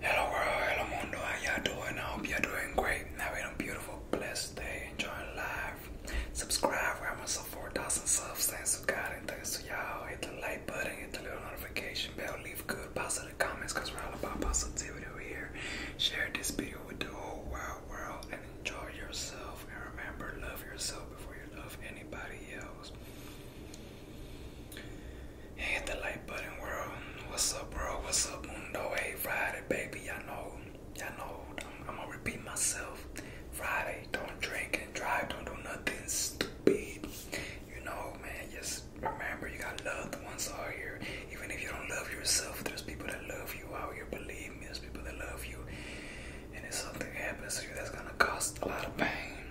Hello world, hello mundo, how y'all doing? I hope y'all doing great. Having a beautiful, blessed day, enjoying life. Subscribe, we're almost at 4,000 subs. Thanks to God and thanks to y'all. Hit the like button, hit the little notification bell, leave good positive comments because we're all about positivity over here. Share this video with the whole world, world and enjoy yourself. And remember, love yourself before you love anybody else. Hit the like button, world. What's up, bro? What's up, Mundo? Hey, Friday, baby. I know, I know. I'm, gonna repeat myself. Friday, don't drink and drive. Don't do nothing stupid. You know, man. Just remember, you got love the ones out here. Even if you don't love yourself, there's people that love you out here. Believe me, there's people that love you. And if something happens to you, that's gonna cost a lot of pain.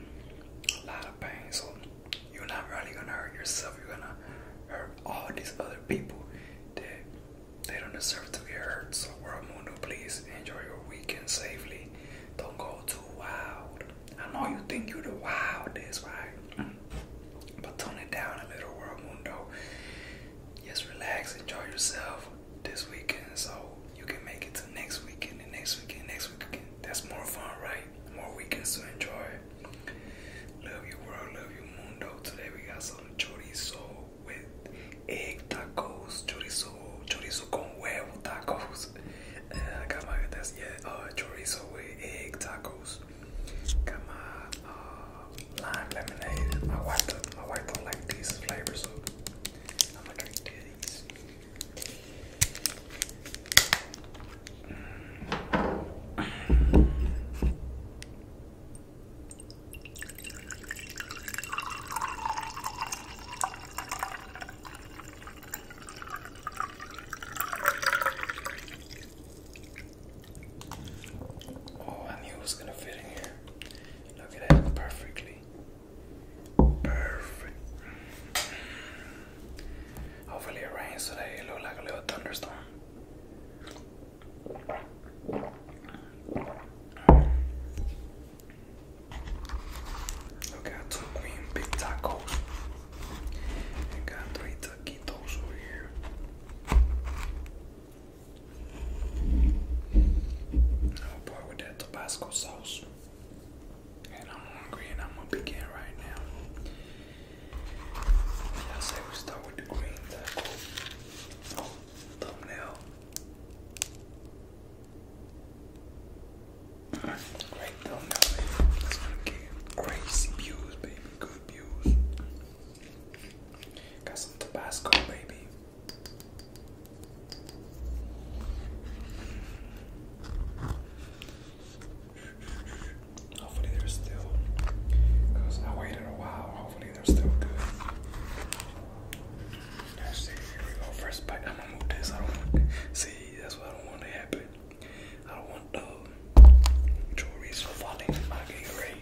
A lot of pain. So you're not really gonna hurt yourself. You're gonna hurt all these other people that they don't deserve to get hurt. So, world mundo, please enjoy your weekend safely. Don't go too wild. I know you think you're the wildest, right? Mm-hmm. But tone it down a little, world mundo. Just relax, enjoy yourself this weekend, so you can make it to next weekend and next weekend, next weekend. That's more fun, right? more weekends to enjoy. Love you world, love you mundo. Today we got some chorizo with egg tacos, chorizo, chorizo con huevo tacos. Uh, got my that's yeah, uh, chorizo with egg tacos. Got my uh, lime lemonade. My wife, my wife don't like these flavors, so I'm gonna drink these. Oh, I knew it was gonna fit in here. Look at that perfectly. Perfect. Hopefully it rains today. It looks like a little thunderstorm. I got two queen big tacos. I got three taquitos over here. Oh boy, with that Tabasco sauce. And I'm hungry and I'm gonna begin right now. I say we start with the green Oh, thumbnail. Great thumbnail, That's gonna crazy views, baby. Good views. Got some Tabasco, baby. Hopefully they're still, I waited a while, hopefully they're still good. Let's see, here we go, first bite, I'm gonna move this, I don't want, see, that's what I don't want to happen. I don't want the uh, falling in my Gatorade.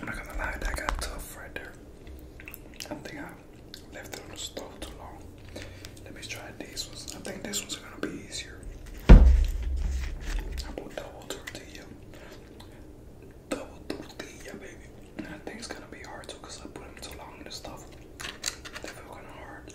I'm not gonna lie, that got tough right there. I don't think I left it on the stove too long. Let me try these ones. I think this one's gonna be easier. I put double tortilla. Double tortilla, baby. I think it's gonna be hard too because I put them too long in the stuff. They feel kinda hard.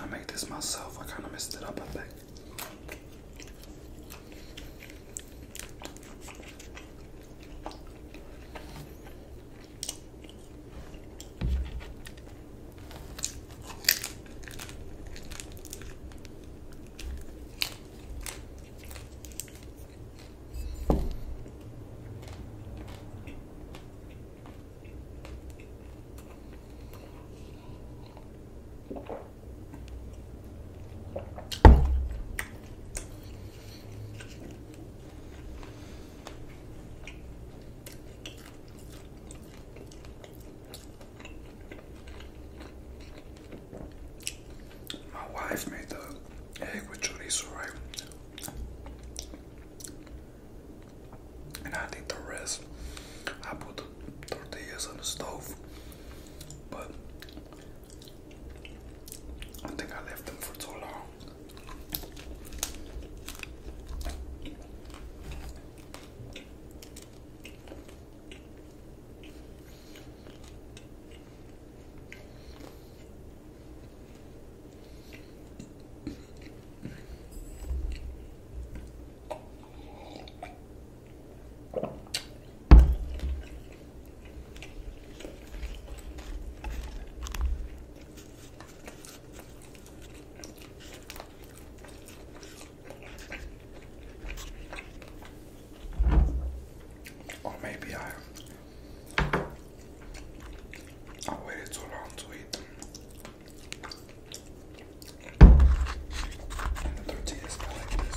I make this myself. I kind of messed it up, I think. My wife made the egg with chorizo, and I think the rest I put the tortillas on the stove, but I think I left them for too long. Oh, maybe I I waited too long to eat them. the tortilla is not this.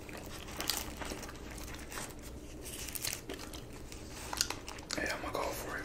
Yeah, I'm gonna go for it.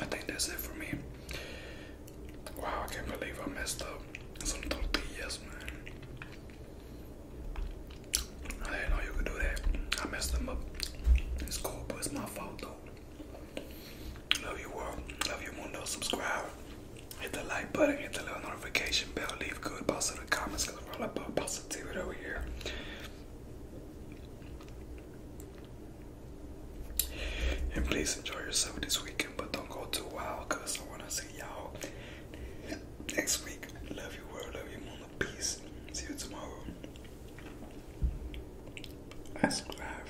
I think that's it for me. Wow, I can't believe I messed up some tortillas, man. I didn't know you could do that. I messed them up. It's cool, but it's my fault though. Love you world. Love you mundo. Subscribe. Hit the like button. Hit the little notification bell. Leave good thoughts in the comments because we're all about positivity over here. And please enjoy yourself this weekend, but don't go too wild because I want to see y'all next week. Love you world. Love you mundo. Peace. See you tomorrow. subscribe.